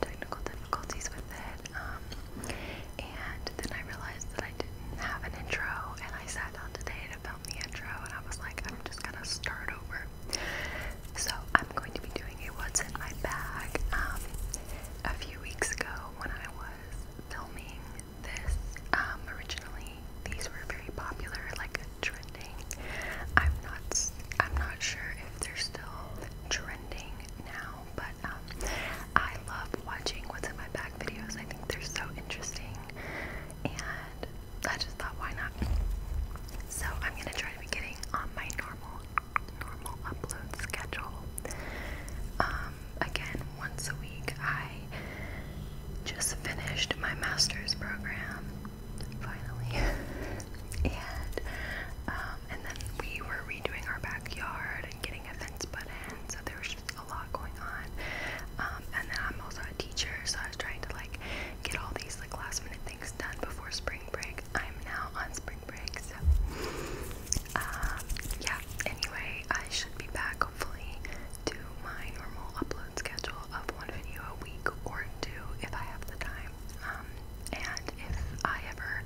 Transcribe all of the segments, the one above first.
technical difficulties with it. Um, and then I realized that I didn't have an intro, and I sat down today to film the intro, and I was like, I'm just gonna start over. So I'm going to be doing a what's in my bag. Um, a few weeks ago, when I was filming this, um, originally these were very popular, like trending. I'm not, I'm not sure if they're still trending now, but um, I love watching what's in my bag videos. I think they're so interesting, and I just thought, why not? So I'm gonna try to be getting on my normal, normal upload schedule. Um, again, once a week. I just finished my master's program finally. and um, and then we were redoing our backyard and getting a fence put in, so there was just a lot going on. Um, and then I'm also a teacher, so I was trying to like get all these like last minute things done before spring break. I'm now on spring break, so um, yeah. Anyway, I should be back hopefully to my normal upload schedule of one video a week or two if I have the time. And if I ever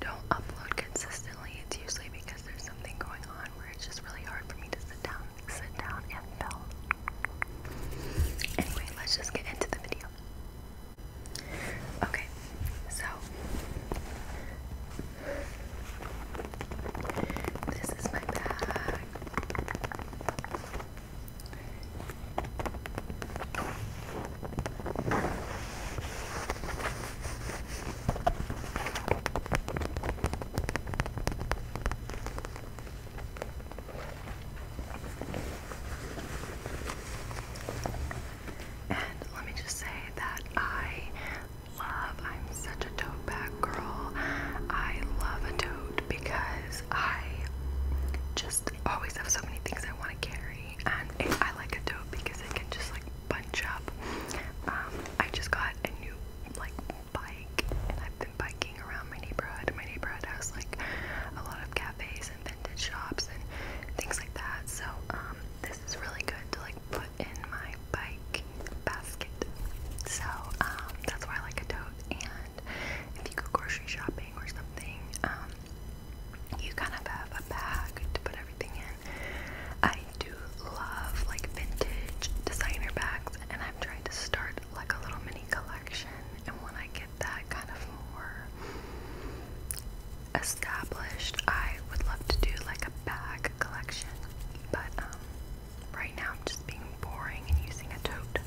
don't upload consistently, it's usually because there's something going on where it's just really hard for me to sit down, sit down and film. Anyway, let's just get into the video. Okay, so this is my bag. And let me just say that I love, I'm such a toad bag girl. I love a tote because I just just always have so many things I want to carry, and I like a tote because it can just like bunch up. Um, I just got a new like bike, and I've been biking around my neighborhood. My neighborhood has like a lot of cafes and vintage shops and things like that. So um, this is really good to like put in my bike basket. So um, that's why I like a tote. And if you go grocery shopping or something, you kind of have a bag to put everything in. I do love like vintage designer bags, and I'm trying to start like a little mini collection. And when I get that kind of more established, I would love to do like a bag collection. But um, right now I'm just being boring and using a tote.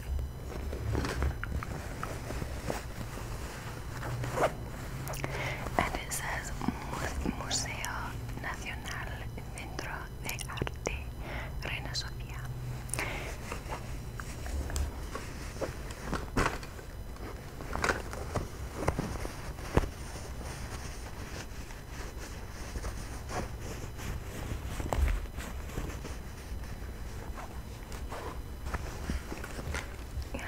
And it says Museo Nacional Centro de Arte Reina Sofía. And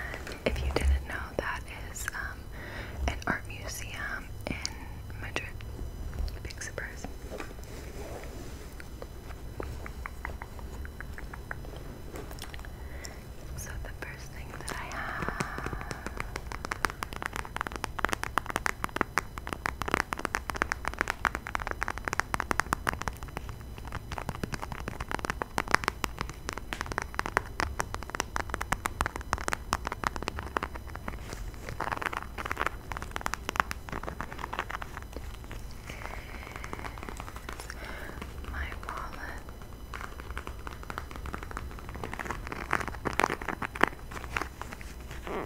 if you didn't know, that is um, an art museum in Madrid. Big surprise. So, the first thing that I have. My wallet. Mm.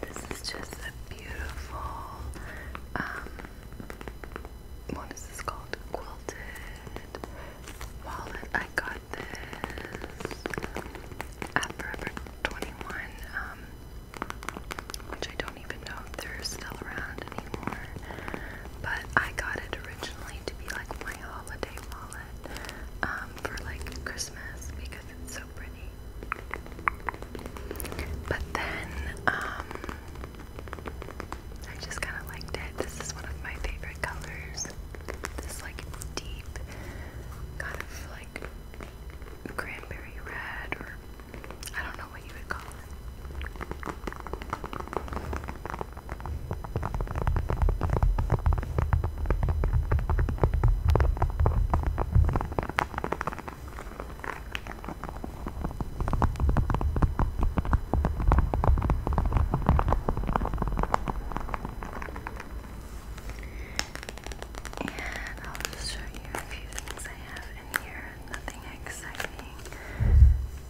This is just a beautiful, um, what is this called? Quilted wallet. I got this at Forever 21, um, which I don't even know if they're still around anymore. But I got it originally to be like my holiday wallet um, for like Christmas because it's so pretty. But then, um, I just kind of liked it. This is one of my favorite colors. This like deep, kind of like cranberry red, or I don't know what you would call it. And I'll just show you a few things I have in here. Nothing exciting.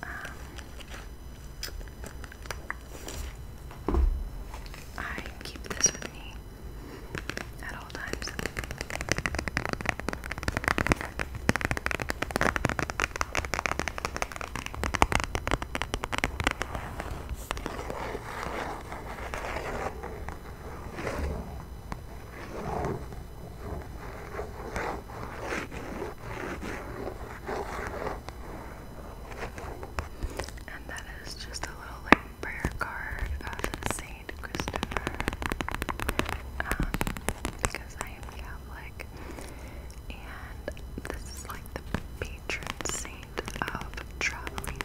Um, I keep this with me at all times. And that is just a little like prayer card of St. Christopher, um, because I am Catholic, and this is like the patron saint of traveling.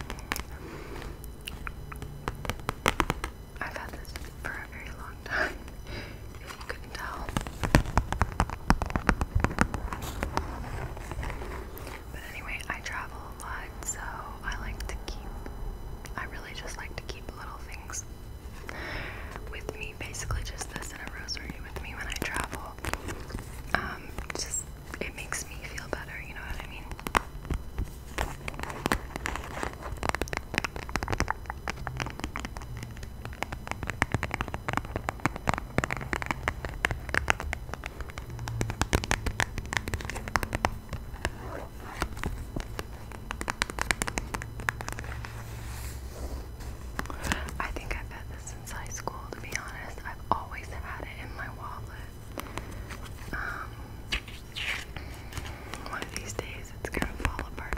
I've had this for a very long time, if you couldn't tell. But anyway, I travel a lot, so I like to keep, I really just like to keep little things with me. Basically, just this and a rosemary with me when I travel. Um, just, it makes me feel better, you know what I mean? I think I've had this since high school, to be honest. I've always had it in my wallet. Um, one of these days it's gonna fall apart.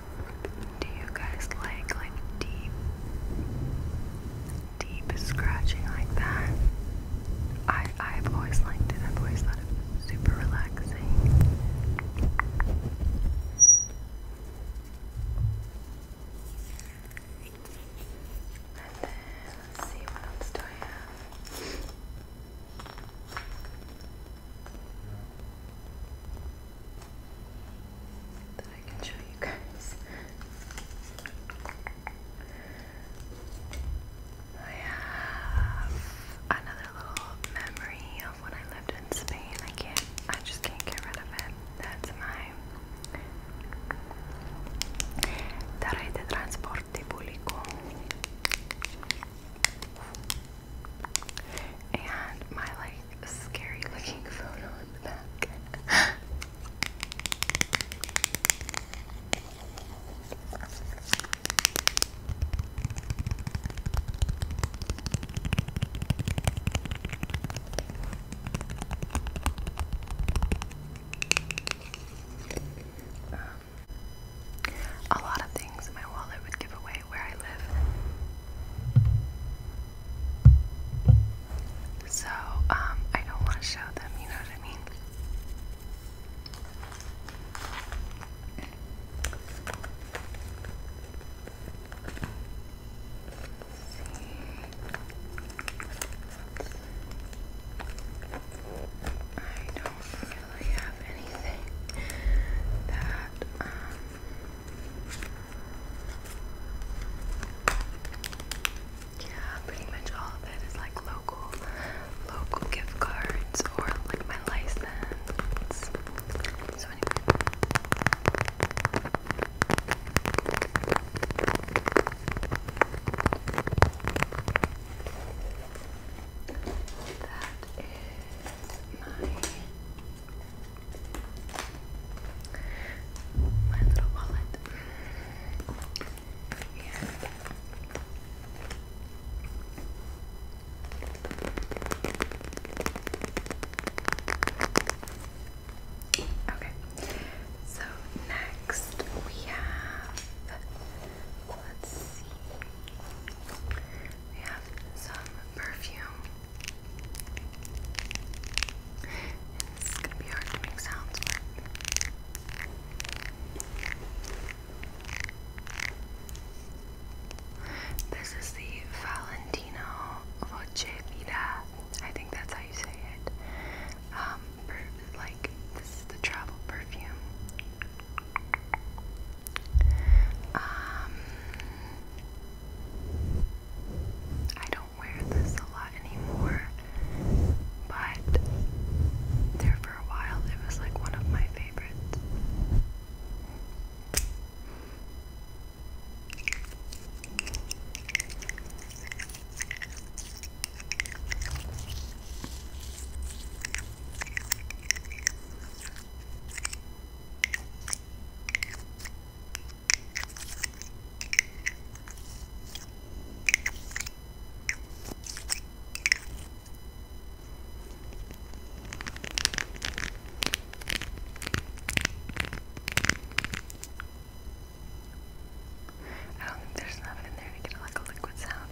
Do you guys like like deep deep scratching like that? I I've always liked it. I've always thought it was super relaxing. And then let's see what else do I have that I can show you guys. I have another little memory of when I lived in Spain. I can't, I just can't get rid of it. That's my La Red Transporte Público. And my like a scary looking photo in the back. um, a lot of things in my wallet would give away where I live. So, um, I don't want to show them, you know what I mean? see. I don't really have anything that um yeah, pretty much all of it is like local, local gift cards or like my license. So That is my my little wallet. Yeah. Okay, so next we have, let's see, we have some perfume. And gonna be hard to make sounds This is the Valentino Voce I think that's how you say it. Um, like this is the travel perfume. Um, I don't wear this a lot anymore, but there for a while it was like one of my favorites. I don't think there's enough in there to get like a liquid sound.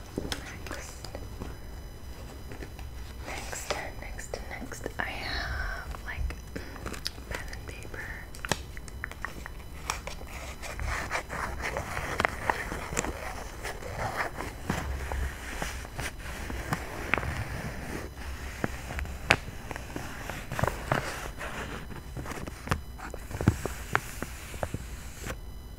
next. Next, next, next, I have like pen and paper.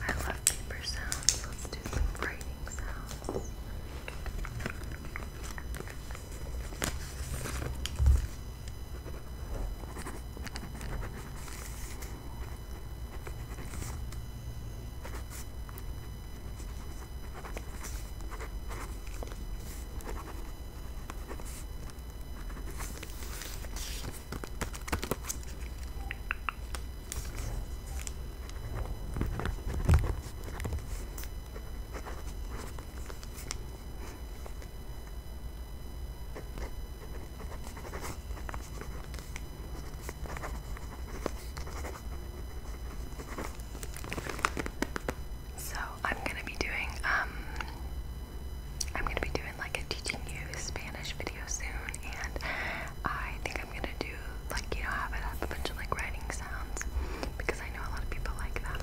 I love paper sounds. Let's do some writing sounds. So I'm gonna be doing um I'm gonna be doing like a teaching you Spanish video soon, and I think I'm gonna do like you know have it have a bunch of like writing sounds because I know a lot of people like that.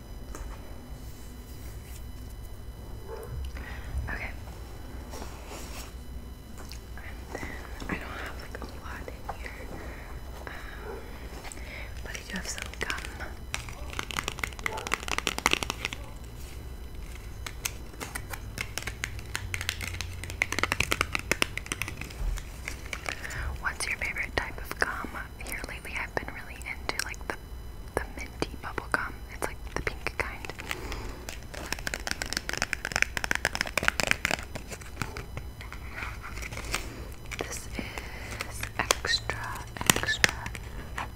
Okay. I don't have like a lot in here, um, but I do have some gum. What's your favorite type of gum? here lately I've been really into like the the minty bubble gum. It's like the pink kind. This is extra, extra. Extra.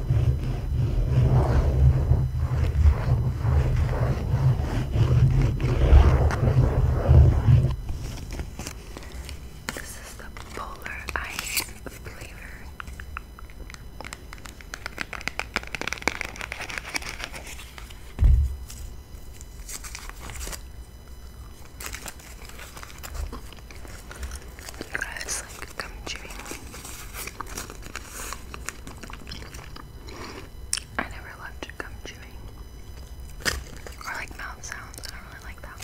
This is the polar ice flavor. You guys like gum chewing. I never love to come chewing. Or like mouth sounds, I really like that.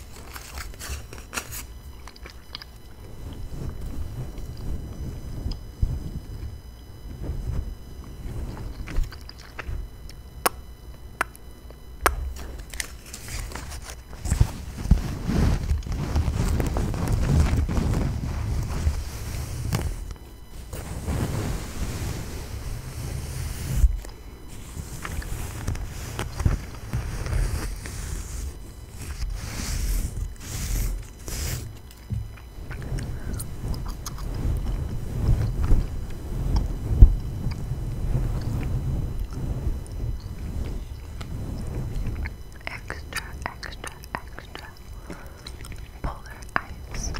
Extra, extra, extra, polar ice.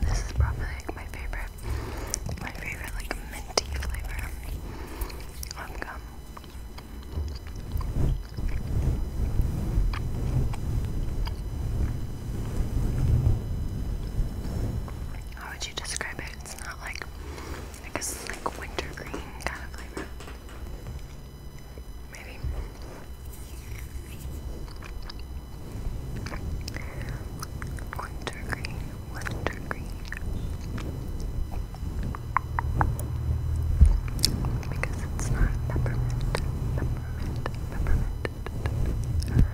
This is probably my favorite, my favorite like minty flavor of how would you describe it? It's not like, I guess like wintergreen kind of flavor. Maybe. Wintergreen, wintergreen. Because it's not peppermint, peppermint, peppermint.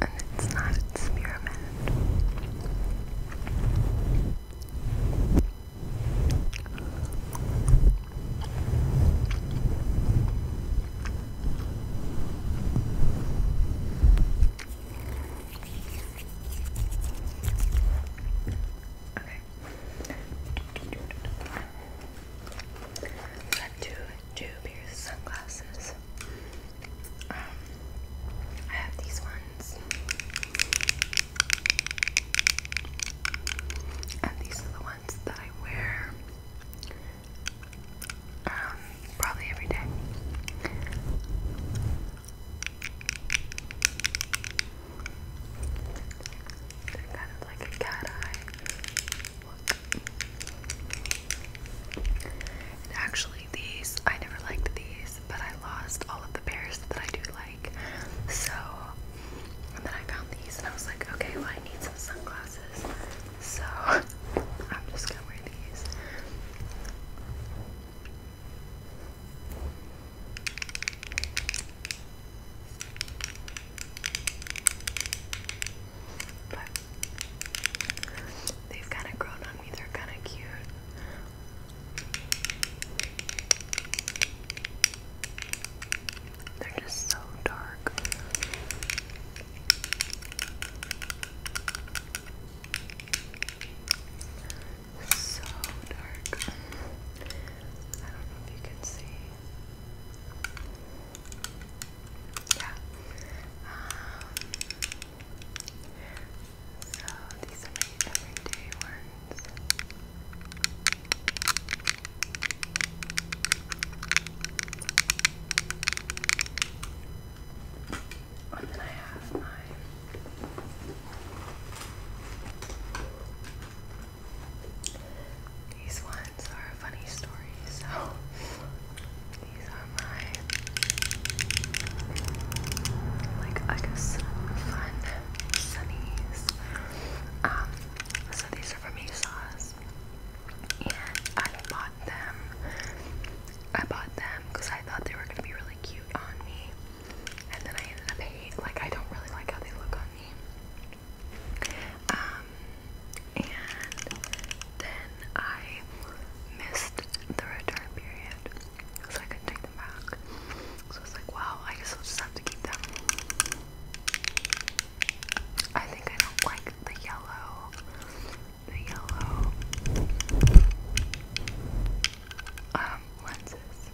And it's not an experiment. Okay. Let's do two pairs of sunglasses. Um, I have these ones, and these are the ones that I wear um, probably every day. They're kind of like a cat eye. And actually, these I never liked these, but I lost all of the pairs that I do like. So, and then I found these, and I was like, okay, well, I need some sunglasses. So, I'm just gonna wear these. They've kind of grown on me, they're kind of cute. They're just so dark. So dark. I don't know if you can see yeah. Um, so these are my everyday ones. And then I have my these ones are funny stories, so these are my, like, I guess, fun sunnies. Um, so these are from ASOS, and I bought them. I bought them because I thought they were gonna be really cute on me, and then I ended up hate. Like, I don't really like how they look on me. Um, and then I missed the return period, so I couldn't take them back. So it's like, wow, I guess just have to keep them. I think I don't like the yellow. The yellow um lenses.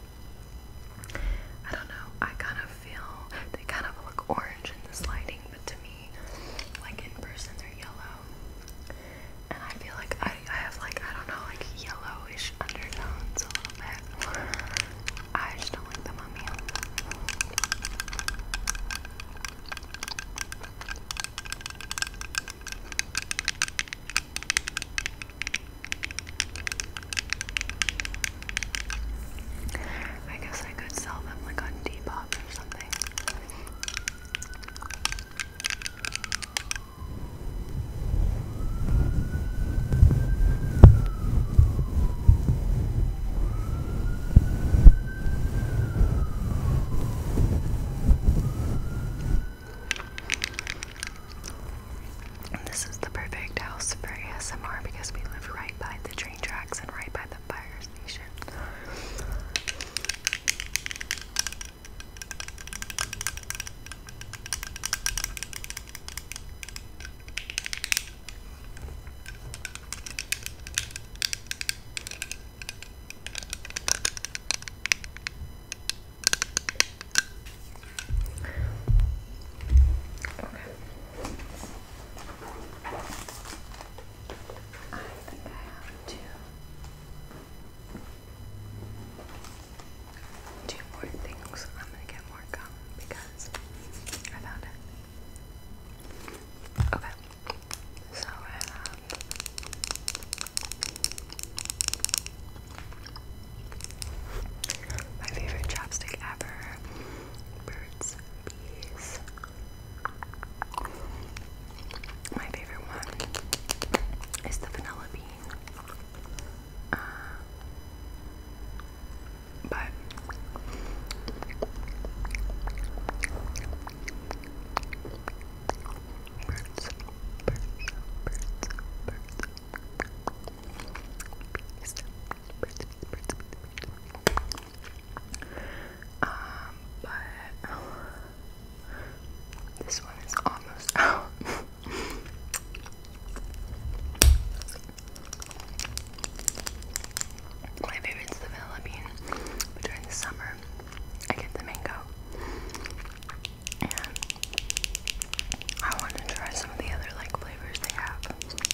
I don't know. I kind of feel they kind of look orange in this lighting, but to me, like in person, they're yellow. And I feel like I, I have like I don't know like yellowish undertones a little bit. I just don't like them on me. I guess I could sell them like on Depop or something. this is the perfect house for ASMR because we live right by the train tracks and right by the fire station. Okay. I think I have two, two more things. I'm gonna get more gum because I found it. Okay, so um, My favorite chapstick ever, my favorite one is the vanilla bean. Uh, but birds, birds, birds, birds, bees, um, but this one is almost out. My favorite's the vanilla bean, during the summer, I get the mango. And I want to try some of the other like flavors they have.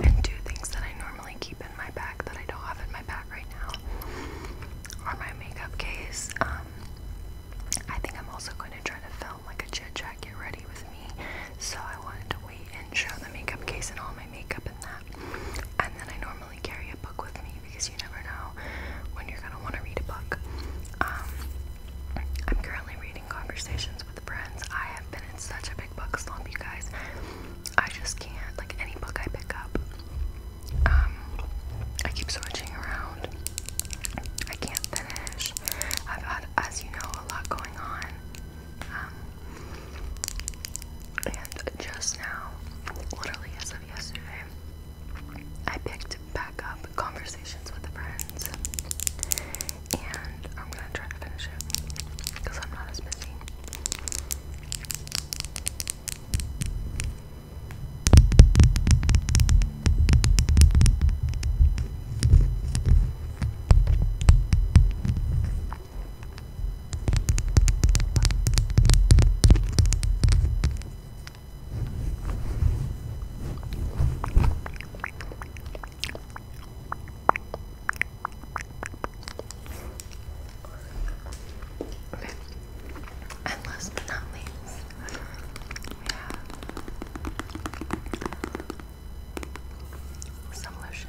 And two things that I normally keep in my bag that I don't have in my bag right now are my makeup case. Um, I think I'm also going to try to film like a chit chat get ready with me, so I wanted to wait and show the makeup case and all my makeup in that. And then I normally normally carry a book with me because you never know when you're gonna want to read a book. Um, I'm currently reading Conversations with Friends. I have been in such a big book slump, you guys. I just can't like any book I pick up. Um, I keep switching around. I can't finish. I've had, as you know, a lot going on. Um, and just now, literally as of yesterday, I picked back up Conversations with Friends, and I'm gonna try to finish it because I'm not as busy. Okay. And last but not least, we have some lotion.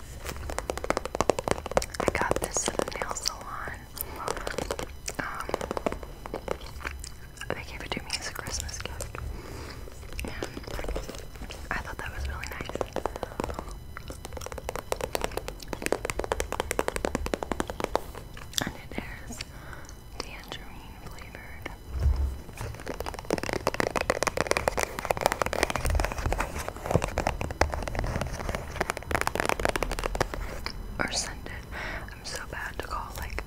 I got this at a nail salon. Um, they gave it to me as a Christmas gift. And I thought that was really nice. And it is tangerine flavored. Or scented. I'm so bad to call like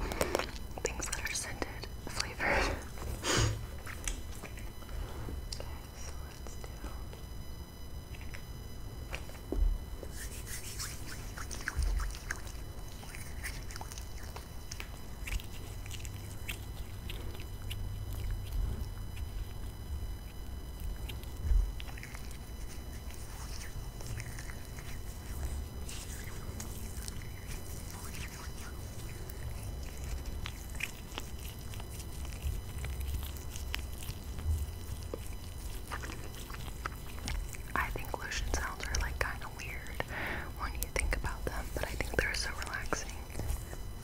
things that are scented flavored. so let's do. I think lotion sounds are like kind of weird when you think about them, but I think they're so relaxing.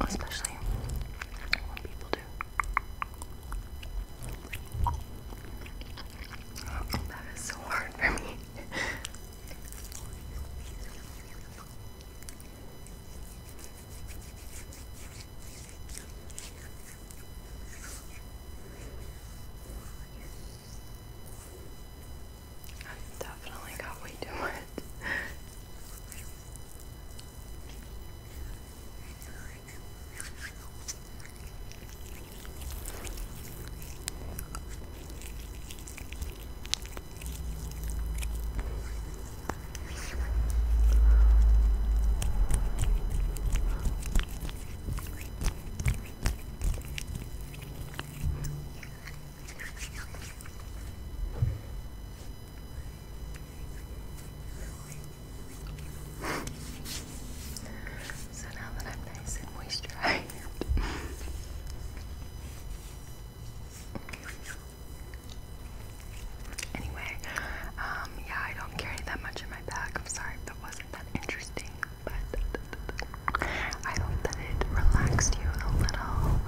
Especially when people do. That is so hard for me. I've definitely got way too much. So now that I'm nice and moisturized, anyway, um, yeah, I don't carry that much in my bag. I'm sorry if that wasn't that interesting, but I hope that it relaxed you a little.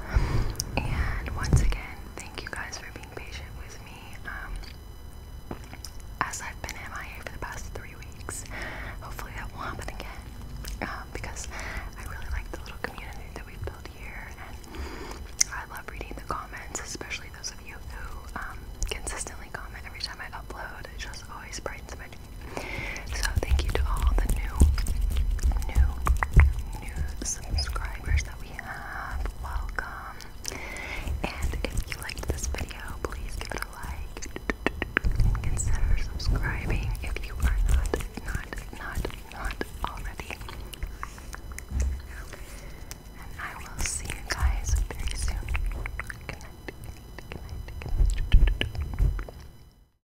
And once again, thank you guys for being patient with me. Um, as I've been MIA for the past three weeks, hopefully that won't happen again. Um, because I really like the little community that we've built here, and I love reading the comments, especially those of you who um, consistently comment every time I upload. It just always brightens my day. So thank you to all the new, new, new subscribers that we have. Welcome. And if you liked this video, please give it a like. Consider subscribing if you are not, not, not, not already. And I will see you guys very soon. Good